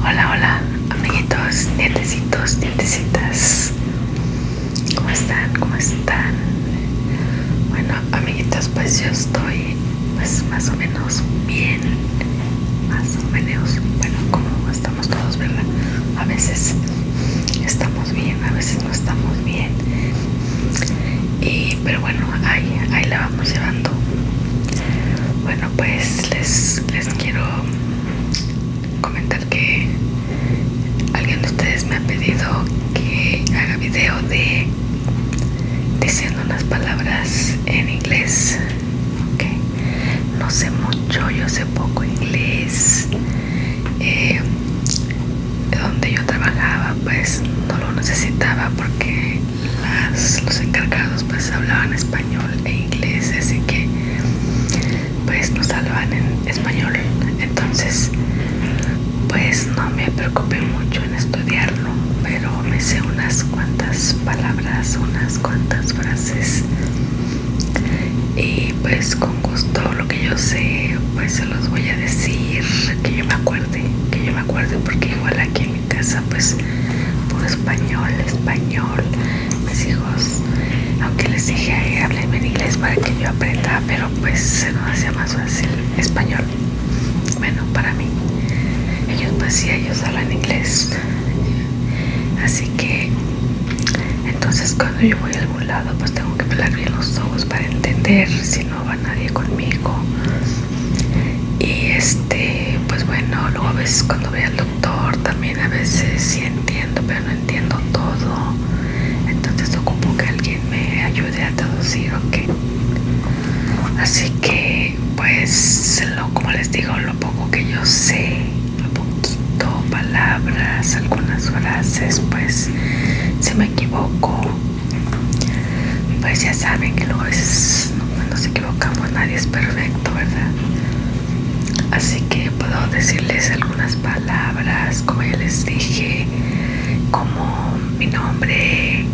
Hola, hola, amiguitos, dientecitos, dientecitas. ¿Cómo están? ¿Cómo están? Bueno, amiguitos, pues yo estoy pues más o menos bien. Más o menos, bueno, como estamos todos, ¿verdad? A veces estamos bien, a veces no estamos bien y, pero bueno ahí, ahí la vamos llevando bueno pues les, quiero comentar que alguien de ustedes me ha pedido que haga video de diciendo unas palabras en inglés no sé mucho yo sé poco inglés eh, donde yo trabajaba pues no lo necesitaba porque los encargados pues hablaban español e inglés así que pues nos hablaban en español entonces pues no me preocupé mucho en estudiarlo pero me sé unas cuantas palabras unas cuantas frases y pues con gusto lo que yo sé pues se los voy a decir que yo me acuerdo que yo me acuerdo porque igual aquí en mi casa pues por español, español, mis hijos, aunque les dije a háblenme en inglés para que yo aprenda, pero pues se nos hacía más fácil español, bueno para mí, ellos pues sí, ellos hablan inglés, así que entonces cuando yo voy a algún lado pues tengo que hablar bien los ojos para entender, si no va nadie conmigo y este pues bueno luego a veces cuando voy al doctor también a veces sí entiendo pero no entiendo todo entonces ocupo que alguien me ayude a traducir o así que pues lo, como les digo lo poco que yo sé a poquito palabras algunas frases pues si me equivoco pues ya saben que luego es, nos equivocamos, nadie es perfecto, ¿verdad? Así que puedo decirles algunas palabras, como ya les dije, como mi nombre,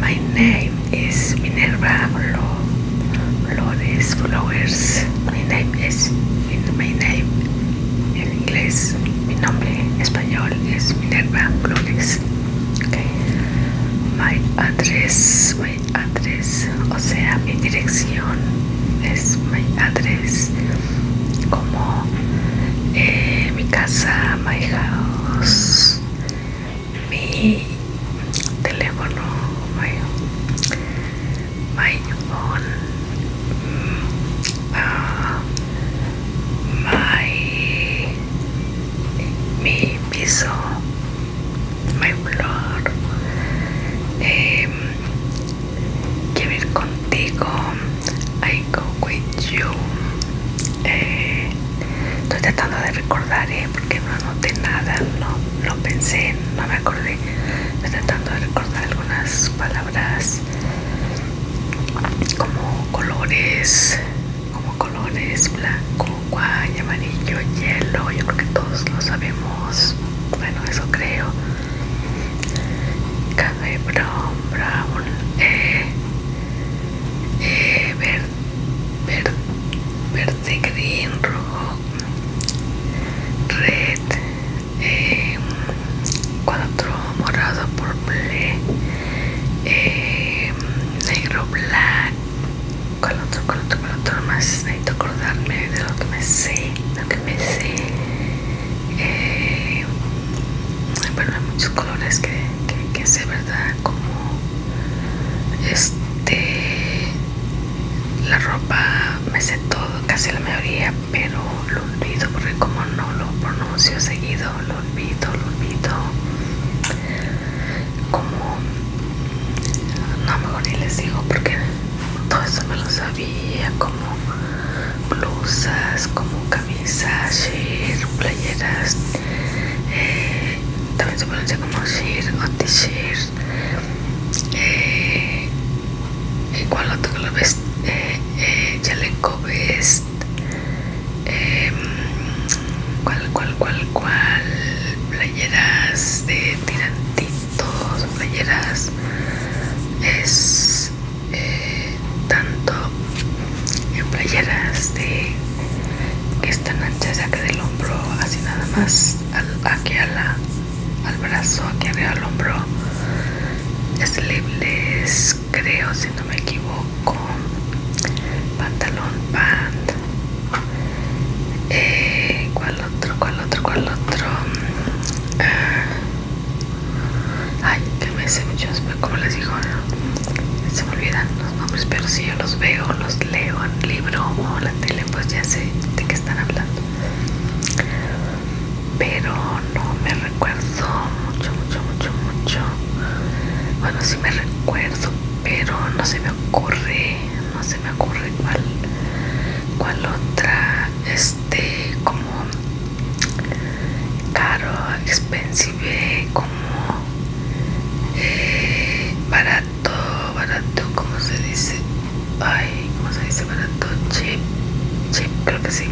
my name is Minerva Flores Flowers, my name is, my name en inglés, mi nombre español es Minerva Flores. My address, my address, o sea, mi dirección es my address, como eh, mi casa, my house, mi teléfono, my, phone, mm, ah, my mi piso, mi flor. Em, quiero ir contigo. I go with you. Eh, estoy tratando de recordar, eh, porque no anoté nada, no lo pensé, no me acordé. Estoy tratando de recordar algunas palabras como colores como colores blanco, guay, amarillo, hielo, yo creo que todos lo sabemos, bueno eso creo café brown, brown, eh, verde, eh, verde, verde, green, rojo, red, eh, cuatro, morado, purple eh, negro, black, con otro, con otro, con otro más necesito acordarme de lo que me sé, lo que me sé. Eh, bueno, hay muchos colores que, sé, ¿verdad? Como este, la ropa, me sé todo, casi la mayoría, pero lo olvido porque como no lo pronuncio seguido, lo olvido, lo olvido. Como no mejor ni les digo porque todo eso me lo sabía, como blusas, como camisas, shir, playeras, eh, también se pronuncia como shirts o t shirts eh, igual otro que lo ves, eh, chaleco eh, ves Em, cual ¿Cuál, cuál, cuál, Playeras de tirantitos, playeras. Es eh, tanto en playeras de que están anchas que del hombro, así nada más aquí a la, al brazo, aquí arriba al hombro. es libres creo si no me equivoco pantalón pant eh, cuál otro cuál otro cuál otro ah. ay que me sé muchos como les digo se me olvidan los nombres pero si yo los veo los leo en libro o en la tele pues ya sé de qué están hablando pero no me recuerdo mucho, mucho, mucho, mucho. Bueno, sí me recuerdo, pero no se me ocurre, no se me ocurre cual otra, este, como caro, expensive, como eh, barato, barato, ¿cómo se dice? Ay, ¿cómo se dice barato? chip creo que sí.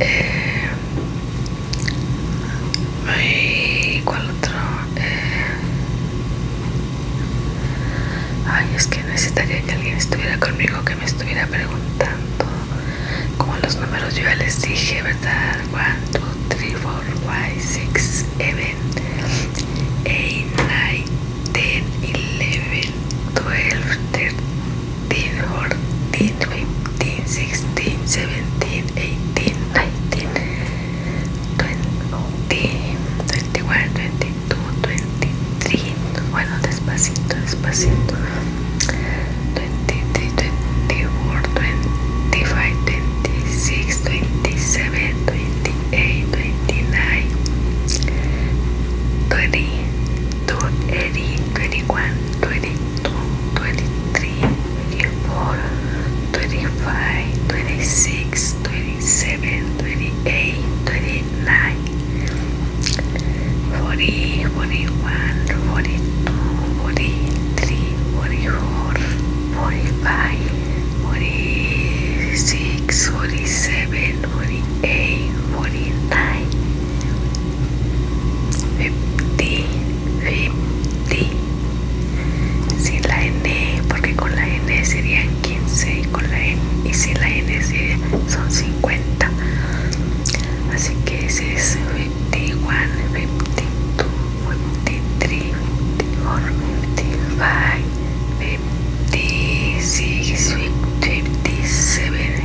Eh, Ay, ¿Cuál otro? Eh, ay, es que necesitaría que alguien estuviera conmigo, que me estuviera preguntando. Como los números yo ya les dije, ¿verdad? 1, 2, 3, 4, 5, 6, 7, 8, 9, 10, 11, 12, 13. 14, 15, 16, 17, 18, 19, 20, 21, 22, 23. Bueno, despacito, despacito. 23, 24, 25, 26, 27, 28, 29, 30, 30 21, 22, 23, 24, 25, 26, 27, 28, 29, 40, 41, 42, 43, 44, 45, 46, 47, 48, 49, 50, 50 sin la N porque con la N serían 15 y con la N y sin la N son 50 así que ese es 51 52 53 54 55 56 57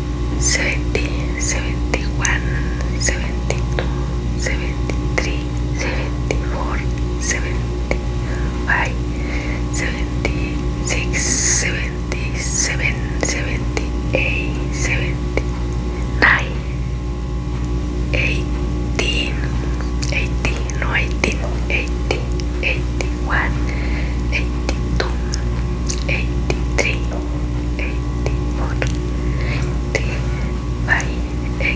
70, 71, 72, 73, 74, 75, 76, 77, 78, 79, 18, 18, 19, 80, 81, 82, 83, 84, 80, 90, 90,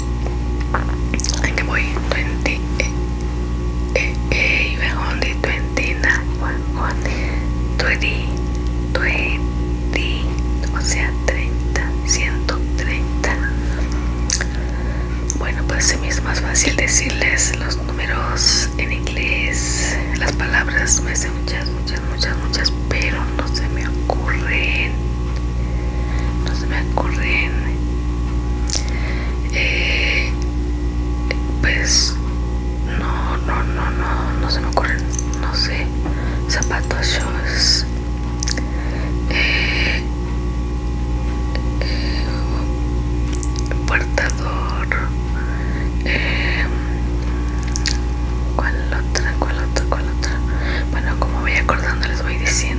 I que boy 20 eh, eh, only 29 only 20 20 o sea 30 130 bueno pues se me es más fácil decirles los números en inglés las palabras me hacen muchas muchas muchas pero no se me ocurren no se me ocurren eh, pues no no no no no se me ocurren no sé zapatos shows, eh, eh, portador eh, otra cuál otra cuál otra bueno como voy acordando les voy diciendo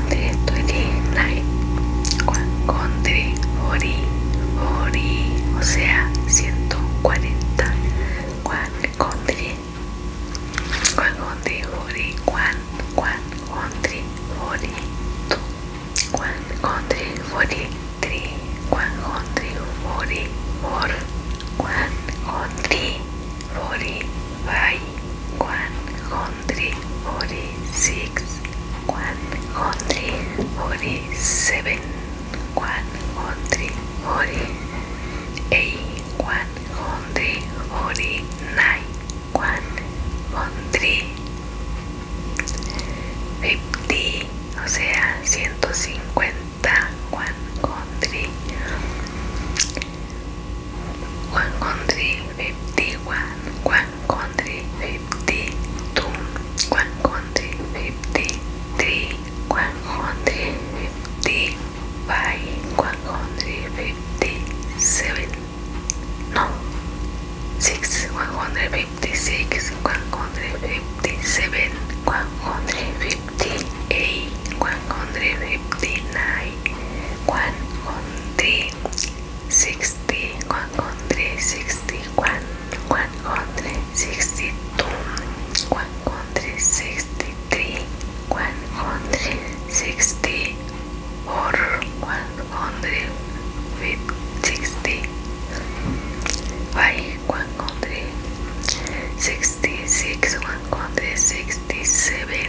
Ori Ori o sea 140 One Conde Juan contra Ori hundred forty-six, one hundred forty-seven, one hundred forty-eight, one hundred forty-nine, one hundred o sea, ciento cincuenta, one one country fifty one, one country fifty two, one country fifty three, one country fifty five, one country fifty seven, no, six, one hundred fifty six, one hundred fifty seven, one hundred fifty eight, one hundred fifty nine, one hundred sixty, one hundred sixty-one, one hundred sixty-two, one hundred sixty-three, one hundred sixty-four, one hundred sixty-five, one hundred sixty-six, one hundred sixty-seven,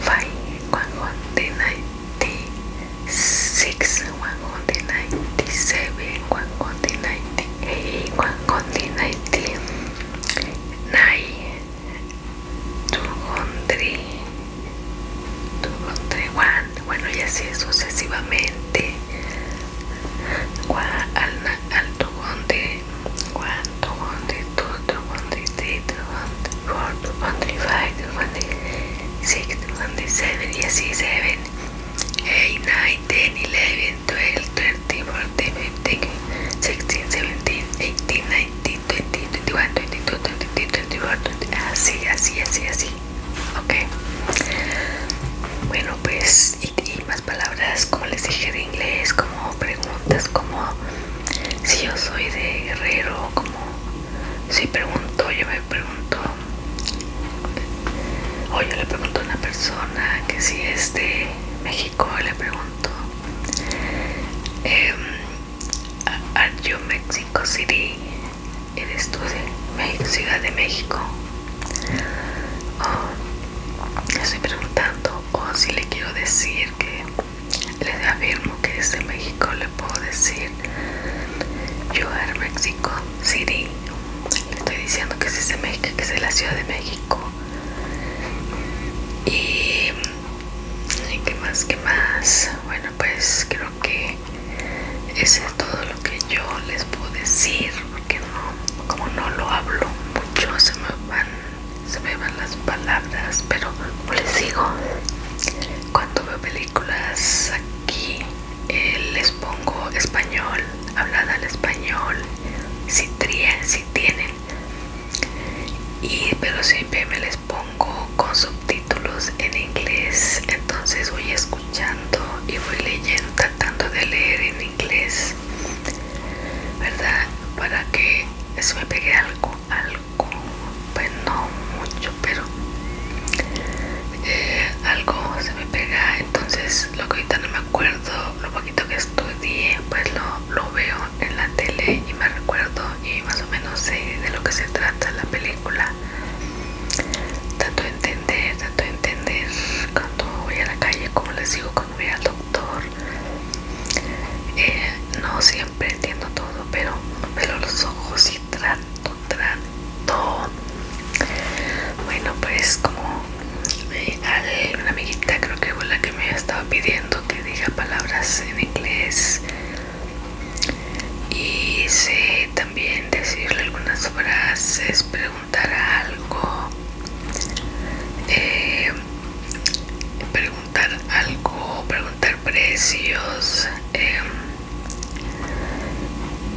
five, one hundred ninety six, one hundred ninety seven, one de ninety eight, one de ninety nine, two hundred, two hundred one. Bueno, y así sucesivamente. al, the one, the two, y así eight, nine, ten, eleven, twelve, fourteen, fifteen, sixteen, seventeen, eighteen, nineteen, twenty, twenty-one, twenty-two, así, así, así, así, ok. Bueno, pues y, más palabras como les dije de inglés, como preguntas, como si yo soy de guerrero como si pregunto yo me pregunto o yo le pregunto a una persona que si es de México le pregunto em, are you Mexico City eres tú de Ciudad de México o estoy preguntando o si le quiero decir que les afirmo que es de México le puedo decir yo are Mexico City. Le estoy diciendo que es de México, que es de la Ciudad de México. Y, que qué más, qué más. Bueno, pues creo que eso es todo lo que yo les puedo decir, porque no, como no lo hablo mucho, se me van se me van las palabras, pero pues les digo, cuando veo películas aquí eh, les pongo español, hablada al español, si trían, si tienen, y pero siempre me les pongo con subtítulos en inglés, entonces voy escuchando y voy leyendo, tratando de leer en inglés, ¿verdad? Para que se me pegue algo algo, pues no mucho, pero eh, algo se me pega. Entonces, lo que ahorita no me acuerdo, lo poquito que estudié, pues lo, lo veo en la tele y me recuerdo y más o menos sé de lo que se trata la película. Tanto entender, tanto entender cuando voy a la calle, como les digo, cuando voy al eh, no siempre entiendo todo pero pero los ojos y trato trato bueno pues como eh, una amiguita creo que fue la que me estaba pidiendo que diga palabras en inglés y sé también decirle algunas frases preguntar algo eh, preguntar algo preguntar precios em,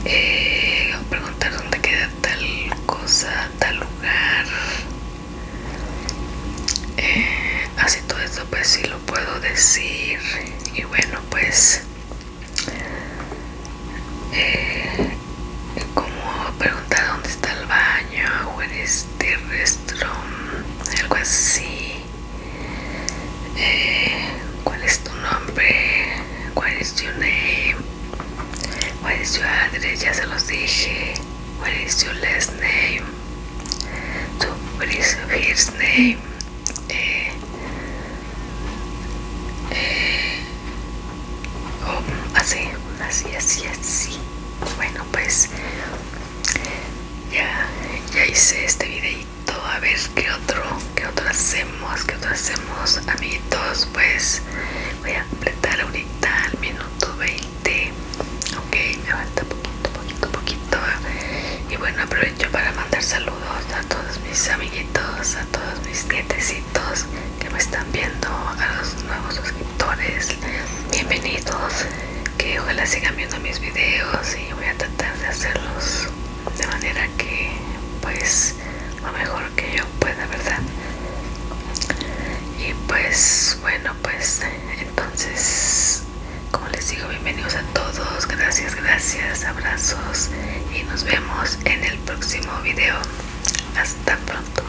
eh, preguntar dónde queda tal cosa tal lugar eh, así todo esto pues sí lo puedo decir y bueno pues eh, como preguntar dónde está el baño, o terrestre algo así eh, cuál es tu nombre cuál es tu name cuál es tu address ya se los dije cuál es tu last name tu first name eh, eh, oh, así así así así bueno pues ya, ya hice este videito a ver qué otro qué otro hacemos que otro hacemos amiguitos pues voy a completar ahorita al minuto 20 ok me falta poquito poquito poquito y bueno aprovecho para mandar saludos a todos mis amiguitos a todos mis nietecitos que me están viendo a los nuevos suscriptores pues, bienvenidos que ojalá sigan viendo mis videos y voy a tratar de hacerlos de manera que pues lo mejor que yo pueda verdad y pues bueno pues entonces como les digo bienvenidos a todos gracias gracias abrazos y nos vemos en el próximo video hasta pronto